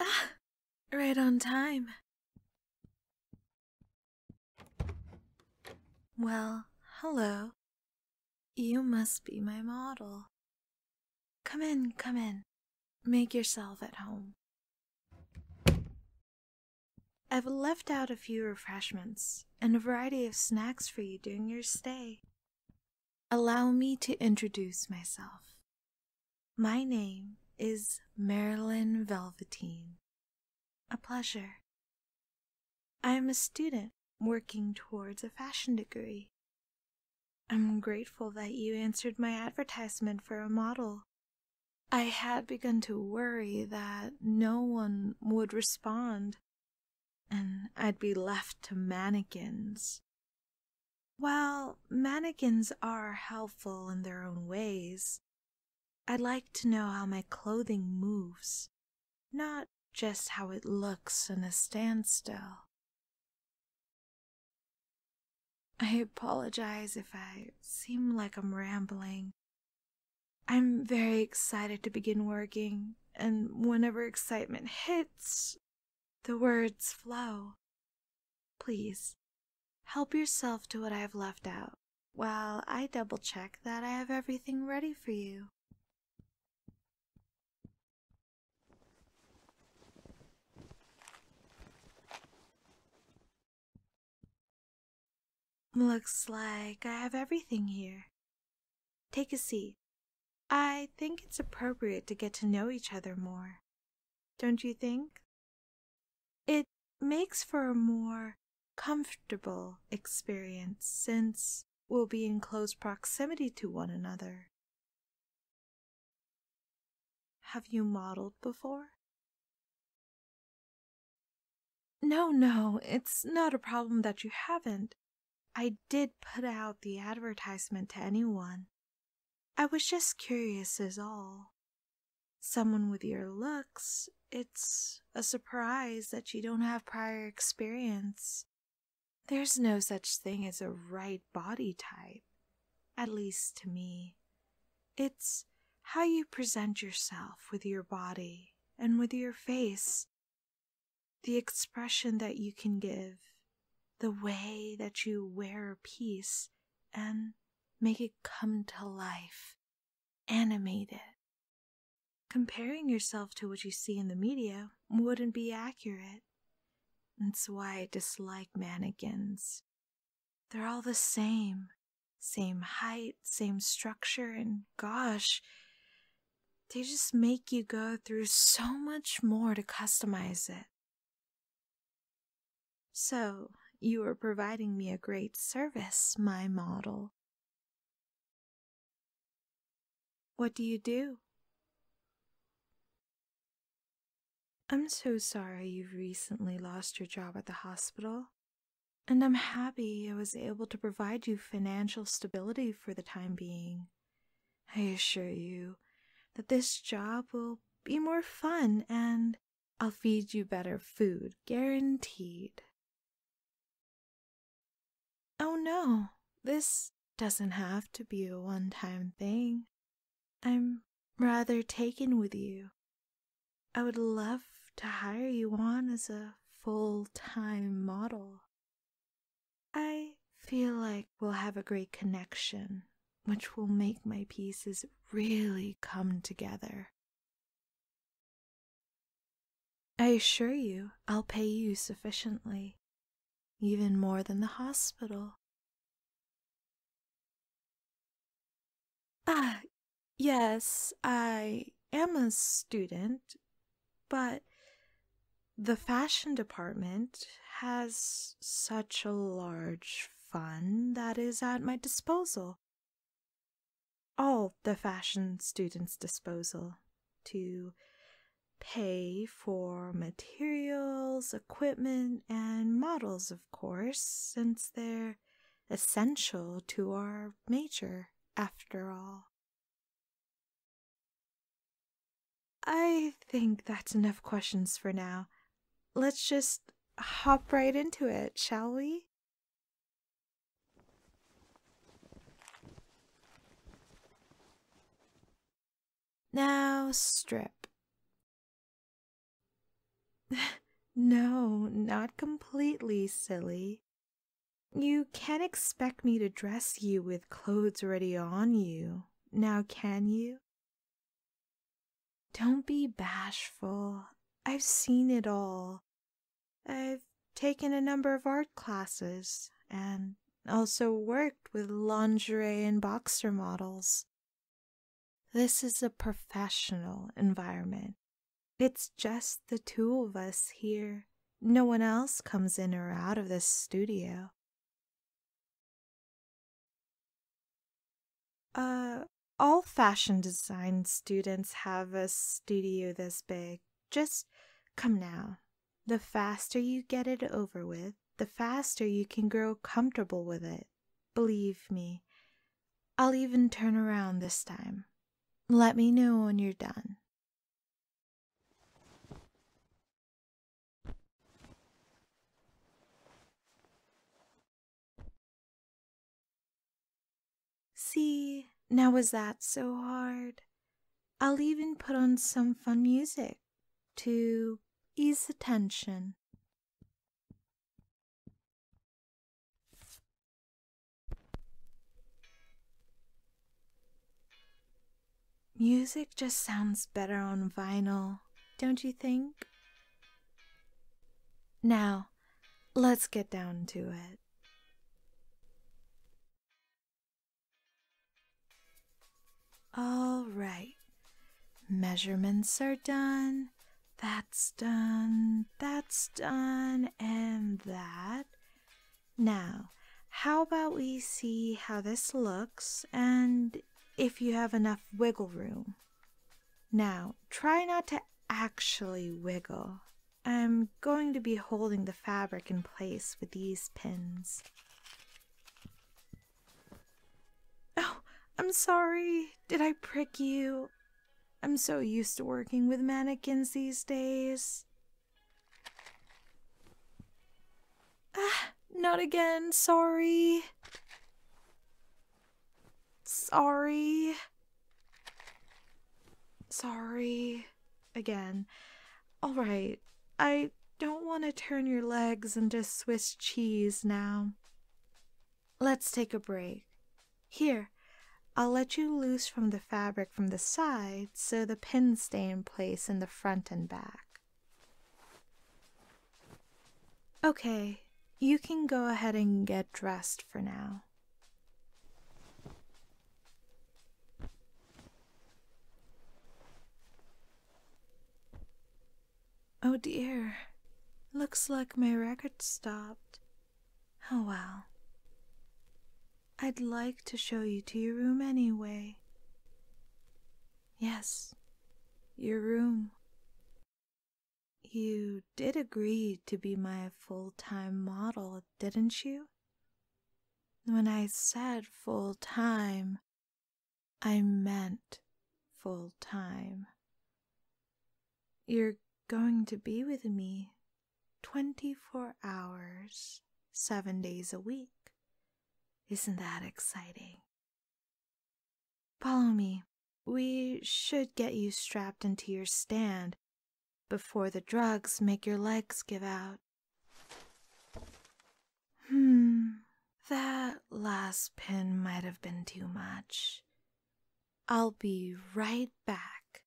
Ah, right on time. Well, hello. You must be my model. Come in, come in. Make yourself at home. I've left out a few refreshments and a variety of snacks for you during your stay. Allow me to introduce myself. My name is Marilyn Velveteen. A pleasure. I am a student working towards a fashion degree. I'm grateful that you answered my advertisement for a model. I had begun to worry that no one would respond and I'd be left to mannequins. Well, mannequins are helpful in their own ways, I'd like to know how my clothing moves, not just how it looks in a standstill. I apologize if I seem like I'm rambling. I'm very excited to begin working, and whenever excitement hits, the words flow. Please help yourself to what I have left out while I double check that I have everything ready for you. Looks like I have everything here. Take a seat. I think it's appropriate to get to know each other more. Don't you think? It makes for a more comfortable experience since we'll be in close proximity to one another. Have you modeled before? No, no, it's not a problem that you haven't. I did put out the advertisement to anyone. I was just curious, as all. Someone with your looks, it's a surprise that you don't have prior experience. There's no such thing as a right body type at least to me. It's how you present yourself with your body and with your face, the expression that you can give, the way that you wear a piece and make it come to life, animate it. Comparing yourself to what you see in the media wouldn't be accurate. That's why I dislike mannequins. They're all the same. Same height, same structure, and gosh, they just make you go through so much more to customize it. So, you are providing me a great service, my model. What do you do? I'm so sorry you've recently lost your job at the hospital, and I'm happy I was able to provide you financial stability for the time being. I assure you that this job will be more fun and I'll feed you better food, guaranteed. Oh no, this doesn't have to be a one time thing. I'm rather taken with you. I would love to hire you on as a full time model. I feel like we'll have a great connection, which will make my pieces really come together. I assure you, I'll pay you sufficiently, even more than the hospital. Ah, yes, I am a student, but the fashion department has such a large fund that is at my disposal. All the fashion students' disposal to pay for materials, equipment, and models, of course, since they're essential to our major, after all. I think that's enough questions for now. Let's just hop right into it, shall we? Now strip. no, not completely, silly. You can't expect me to dress you with clothes already on you, now can you? Don't be bashful. I've seen it all. I've taken a number of art classes, and also worked with lingerie and boxer models. This is a professional environment. It's just the two of us here. No one else comes in or out of this studio. Uh, all fashion design students have a studio this big. Just come now. The faster you get it over with, the faster you can grow comfortable with it. Believe me, I'll even turn around this time. Let me know when you're done. See, now was that so hard? I'll even put on some fun music to ease the tension. Music just sounds better on vinyl, don't you think? Now, let's get down to it. All right. Measurements are done. That's done. That's done. And that. Now, how about we see how this looks and if you have enough wiggle room? Now, try not to actually wiggle. I'm going to be holding the fabric in place with these pins. Oh, I'm sorry. Did I prick you? I'm so used to working with mannequins these days. Ah, not again. Sorry. Sorry. Sorry again. All right, I don't want to turn your legs into Swiss cheese now. Let's take a break. Here, I'll let you loose from the fabric from the side so the pins stay in place in the front and back. Okay, you can go ahead and get dressed for now. Oh dear, looks like my record stopped. Oh well. I'd like to show you to your room anyway. Yes, your room. You did agree to be my full time model, didn't you? When I said full time, I meant full time. You're going to be with me 24 hours, seven days a week. Isn't that exciting? Follow me. We should get you strapped into your stand before the drugs make your legs give out. Hmm, that last pin might have been too much. I'll be right back.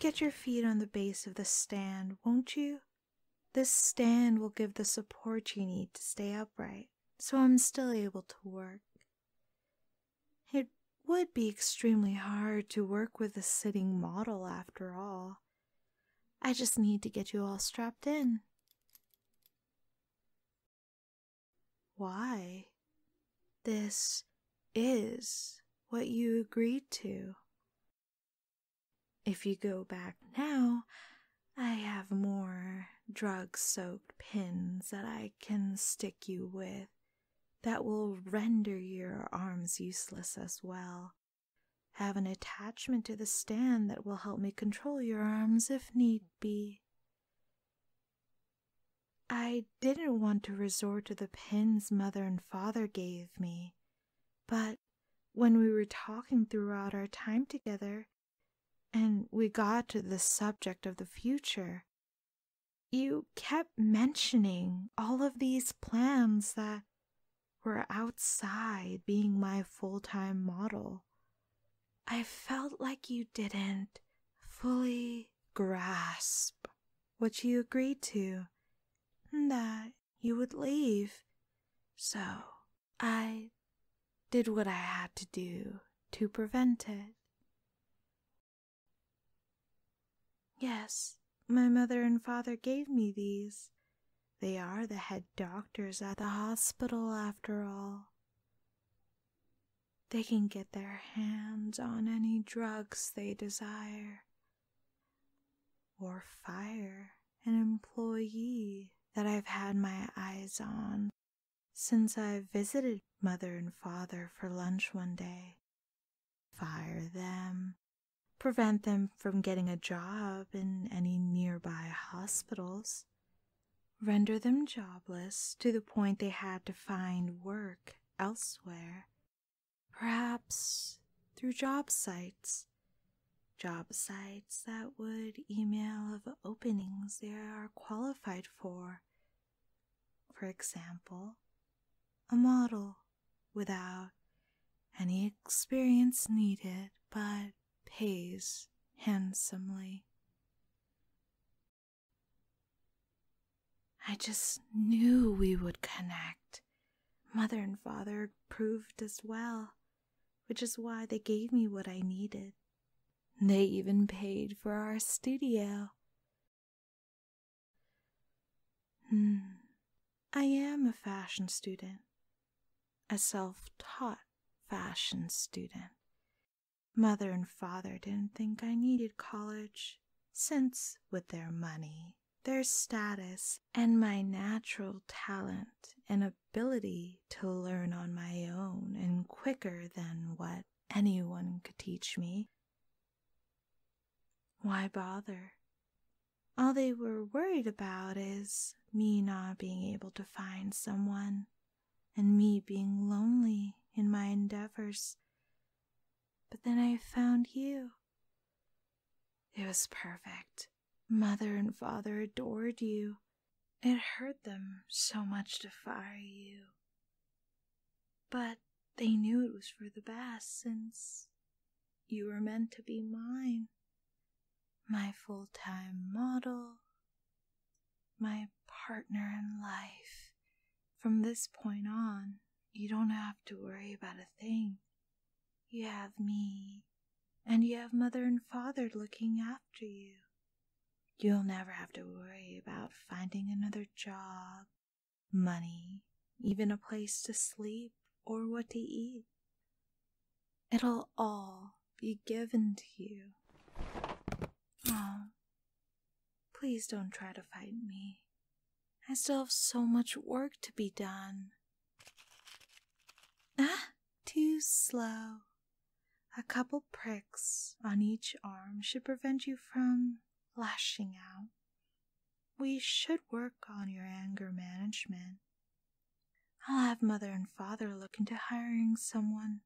Get your feet on the base of the stand, won't you? This stand will give the support you need to stay upright so I'm still able to work. It would be extremely hard to work with a sitting model after all. I just need to get you all strapped in. Why? This is what you agreed to. If you go back now, I have more drug soaked pins that I can stick you with that will render your arms useless as well. Have an attachment to the stand that will help me control your arms if need be. I didn't want to resort to the pins mother and father gave me, but when we were talking throughout our time together and we got to the subject of the future, you kept mentioning all of these plans that were outside being my full time model. I felt like you didn't fully grasp what you agreed to, and that you would leave. So I did what I had to do to prevent it. Yes, my mother and father gave me these. They are the head doctors at the hospital, after all. They can get their hands on any drugs they desire, or fire an employee that I've had my eyes on since I visited mother and father for lunch one day. Fire them, prevent them from getting a job in any nearby hospitals, render them jobless to the point they had to find work elsewhere, Perhaps through job sites. Job sites that would email of openings they are qualified for. For example, a model without any experience needed but pays handsomely. I just knew we would connect. Mother and father proved as well, which is why they gave me what I needed. They even paid for our studio. Hmm. I am a fashion student, a self taught fashion student. Mother and father didn't think I needed college, since, with their money, their status, and my natural talent and ability to learn on my own and quicker than what anyone could teach me. Why bother? All they were worried about is me not being able to find someone and me being lonely in my endeavors. But then I found you. It was perfect. Mother and father adored you. It hurt them so much to fire you. But they knew it was for the best since you were meant to be mine, my full time model, my partner in life, from this point on, you don't have to worry about a thing. You have me, and you have mother and father looking after you. You'll never have to worry about finding another job, money, even a place to sleep or what to eat. It'll all be given to you. Oh, Please don't try to fight me. I still have so much work to be done. Ah, too slow. A couple pricks on each arm should prevent you from lashing out. We should work on your anger management. I'll have mother and father look into hiring someone.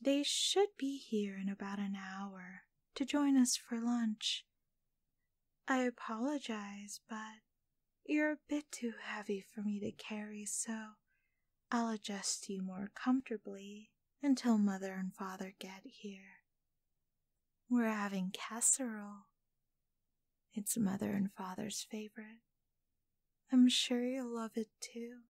They should be here in about an hour to join us for lunch. I apologize, but you're a bit too heavy for me to carry, so I'll adjust you more comfortably until Mother and Father get here. We're having casserole. It's Mother and Father's favorite. I'm sure you'll love it too.